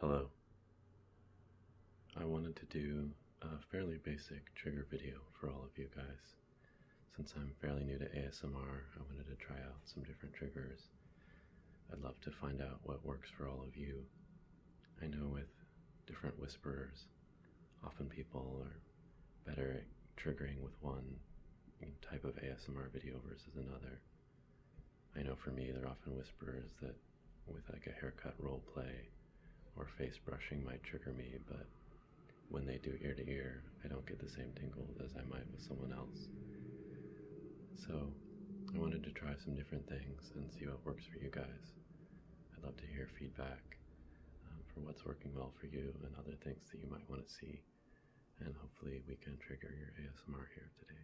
Hello. I wanted to do a fairly basic trigger video for all of you guys. Since I'm fairly new to ASMR, I wanted to try out some different triggers. I'd love to find out what works for all of you. I know with different whisperers, often people are better at triggering with one type of ASMR video versus another. I know for me, they're often whispers that, with like a haircut role play or face brushing, might trigger me, but when they do ear to ear, I don't get the same tingle as I might with someone else. So, I wanted to try some different things and see what works for you guys. I'd love to hear feedback um, for what's working well for you and other things that you might want to see, and hopefully, we can trigger your ASMR here today.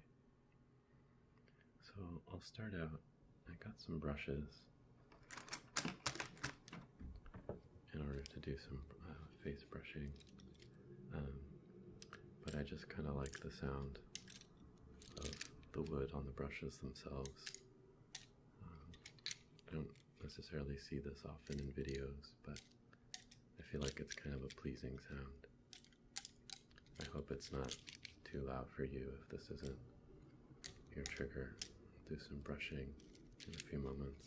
So I'll start out. I got some brushes, in order to do some uh, face brushing, um, but I just kind of like the sound of the wood on the brushes themselves. Um, I don't necessarily see this often in videos, but I feel like it's kind of a pleasing sound. I hope it's not too loud for you if this isn't your trigger. do some brushing in a few moments.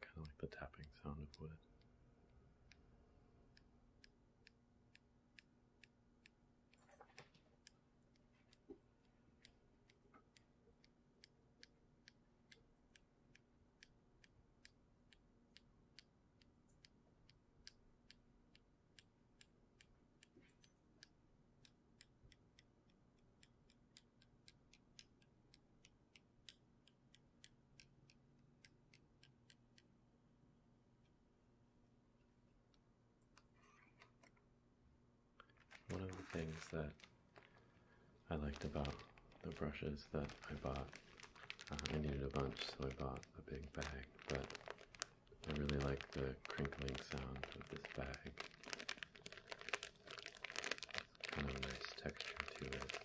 Kind of like the tapping sound of wood. One of the things that I liked about the brushes that I bought. Uh, I needed a bunch, so I bought a big bag, but I really like the crinkling sound of this bag. kind of a nice texture to it.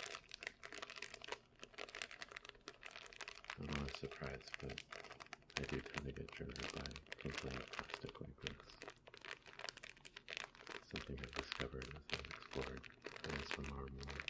I'm not surprised, but I do tend to get triggered by crinkling plastic like something I've discovered as I've explored things from our world.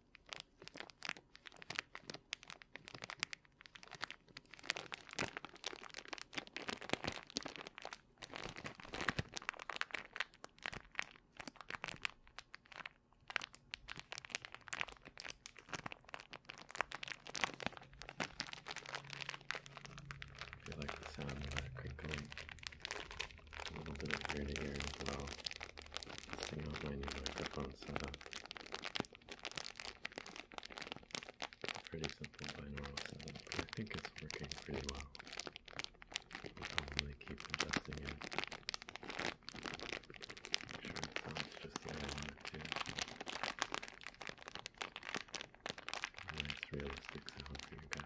I like the sound of that crinkling a little bit of ear to ear as well. Testing out my new microphone setup. Pretty simple binaural setup, but I think it's working pretty well. I'll probably keep adjusting it. Make sure it sounds just the way I want it to. Nice realistic sound for you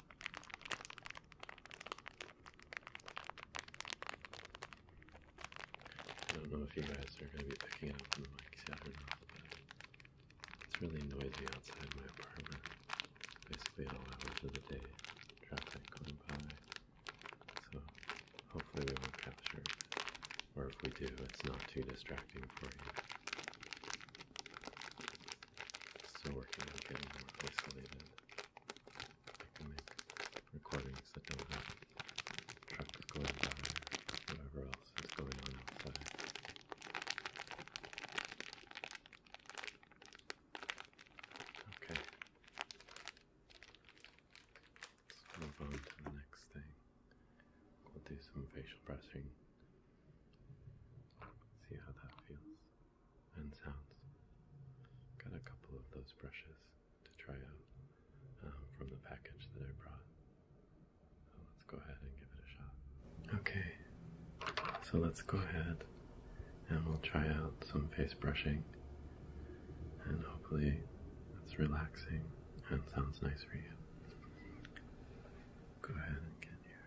I don't know if you guys are going to be picking up the mics yet but it's really noisy outside my apartment. Basically, all hours of the day, traffic going by. So, hopefully, we won't capture it. Or if we do, it's not too distracting for you. Still working on getting more isolated. I can make going by whatever else is going on outside. Okay. Let's move on to the next thing. We'll do some facial brushing See how that feels and sounds. Got a couple of those brushes to try out um, from the package that I brought. let's go ahead and give it a shot. Okay, so let's go ahead and we'll try out some face brushing and hopefully it's relaxing and sounds nice for you go ahead and get your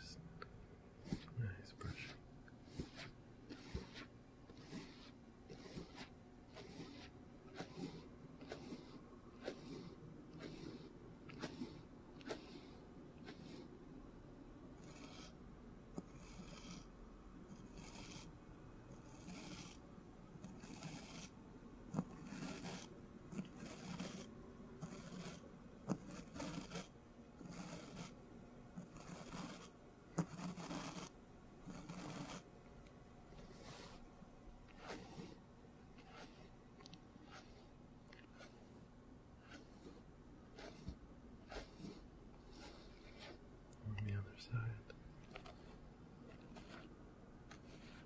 just nice brushing. On the other side.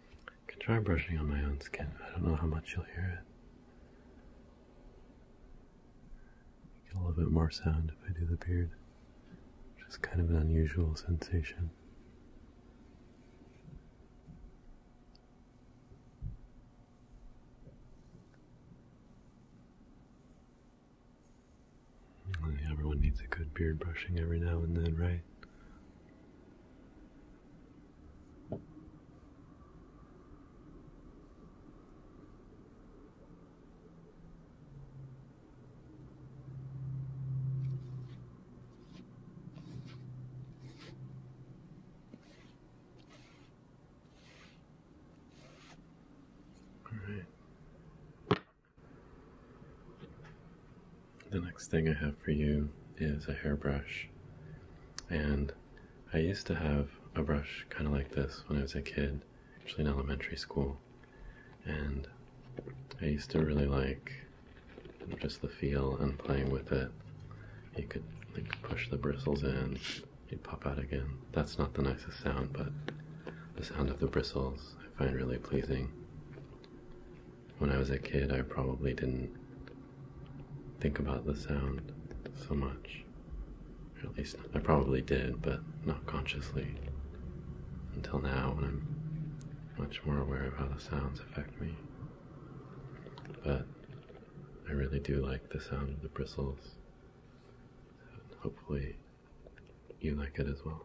I can try brushing on my own skin. I don't know how much you'll hear it. Get a little bit more sound if I do the beard. Just kind of an unusual sensation. Everyone needs a good beard brushing every now and then, right? the next thing I have for you is a hairbrush. And I used to have a brush kind of like this when I was a kid, actually in elementary school and I used to really like just the feel and playing with it. You could push the bristles in, you'd pop out again. That's not the nicest sound, but the sound of the bristles I find really pleasing. When I was a kid, I probably didn't think about the sound so much. Or at least I probably did, but not consciously until now when I'm much more aware of how the sounds affect me. But I really do like the sound of the bristles. So hopefully, you like it as well.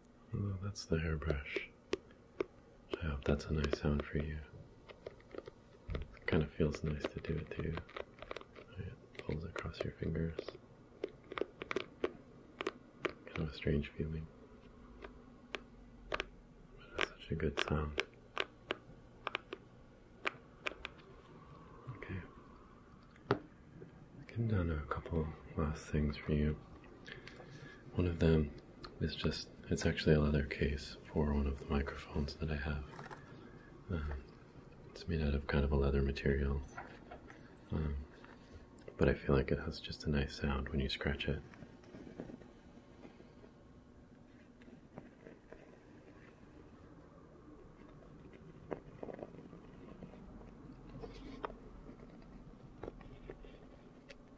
Oh, that's the hairbrush. I hope that's a nice sound for you. kind of feels nice to do it too. It pulls across your fingers. Kind of a strange feeling. But it's such a good sound. Okay. I've done a couple last things for you. One of them it's just, it's actually a leather case for one of the microphones that I have. Um, it's made out of kind of a leather material. Um, but I feel like it has just a nice sound when you scratch it.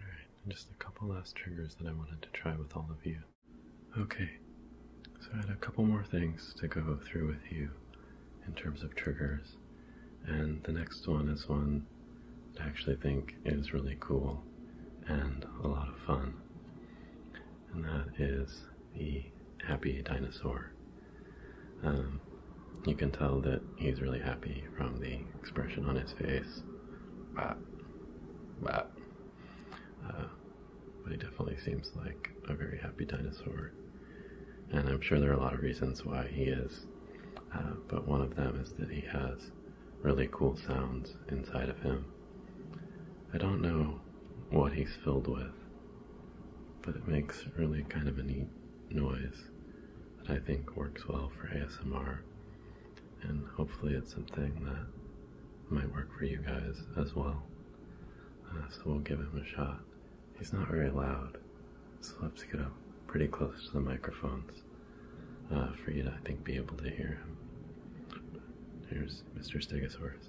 Alright, just a couple last triggers that I wanted to try with all of you. Okay, so I had a couple more things to go through with you in terms of triggers, and the next one is one that I actually think is really cool and a lot of fun, and that is the happy dinosaur. Um, you can tell that he's really happy from the expression on his face. Bah. Bah. Uh, but he definitely seems like a very happy dinosaur. And I'm sure there are a lot of reasons why he is. Uh, but one of them is that he has really cool sounds inside of him. I don't know what he's filled with, but it makes really kind of a neat noise that I think works well for ASMR, and hopefully it's something that might work for you guys as well. Uh, so we'll give him a shot. He's not very loud, so let's get up pretty close to the microphones uh, for you to, I think, be able to hear him. Here's Mr. Stegosaurus.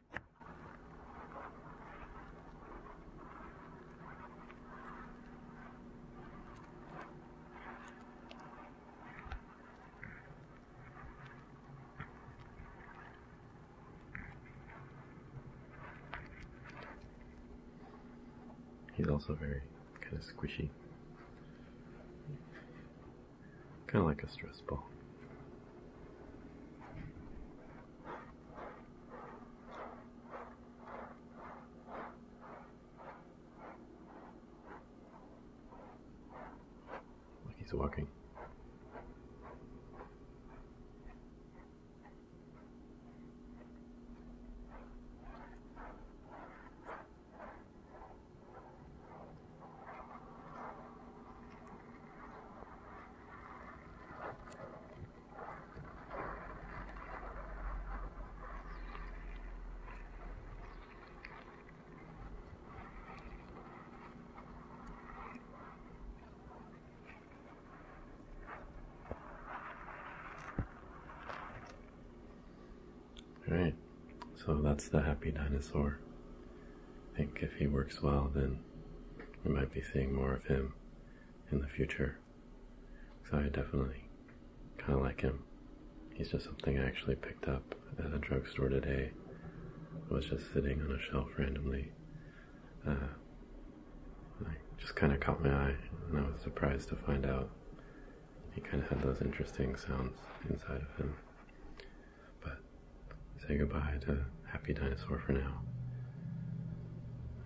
He's also very kind of squishy. Kind of like a stress ball. Like he's walking. All right, so that's the happy dinosaur. I think if he works well, then we might be seeing more of him in the future. So I definitely kind of like him. He's just something I actually picked up at a drugstore today. It was just sitting on a shelf randomly. Uh, I just kind of caught my eye, and I was surprised to find out he kind of had those interesting sounds inside of him. But say goodbye to Happy Dinosaur for now.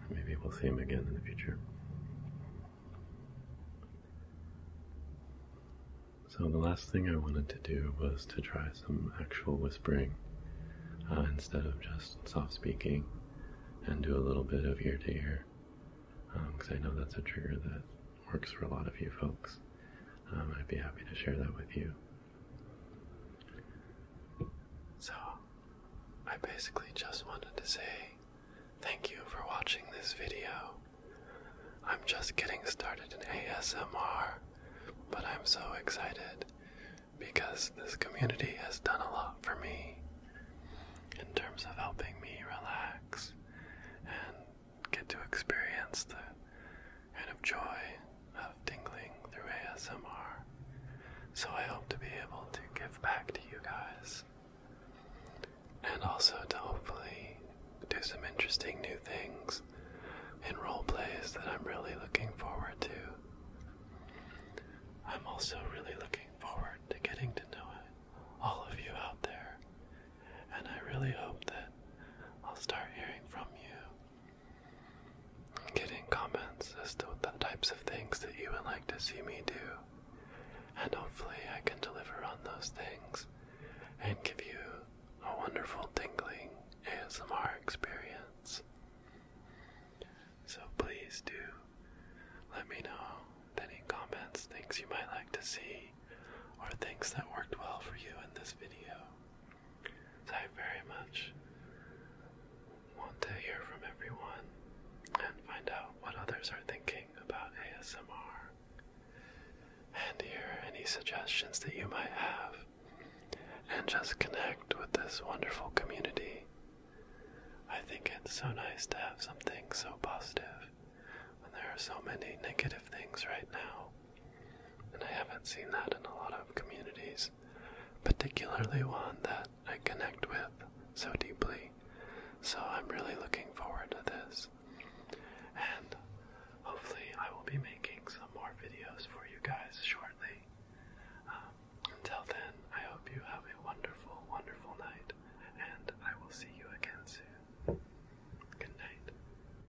Maybe we'll see him again in the future. So the last thing I wanted to do was to try some actual whispering uh, instead of just soft speaking and do a little bit of ear to ear because um, I know that's a trigger that works for a lot of you folks. Um, I'd be happy to share that with you. So, I basically just wanted to say thank you for watching this video. I'm just getting started in ASMR, but I'm so excited because this community has done a lot for me in terms of helping me relax and get to experience the kind of joy of tingling through ASMR, so I hope to be able to give back to you guys. And also to hopefully do some interesting new things in role plays that I'm really looking forward to. I'm also really looking forward to getting to know all of you out there, and I really hope that I'll start hearing from you Getting comments as to the types of things that you would like to see me do, and hopefully, I can deliver on those things and give you a wonderful tingling ASMR experience. So, please do let me know any comments, things you might like to see, or things that worked well for you in this video. So I very much want to hear from everyone and find out what others are thinking about ASMR and hear any suggestions that you might have and just connect with this wonderful community. I think it's so nice to have something so positive when there are so many negative things right now. And I haven't seen that in a lot of communities, particularly one that I connect with so deeply. So I'm really looking forward to this. And hopefully, I will be making some more videos for you guys shortly. Um, until then, I hope you have a wonderful, wonderful night, and I will see you again soon. Good night.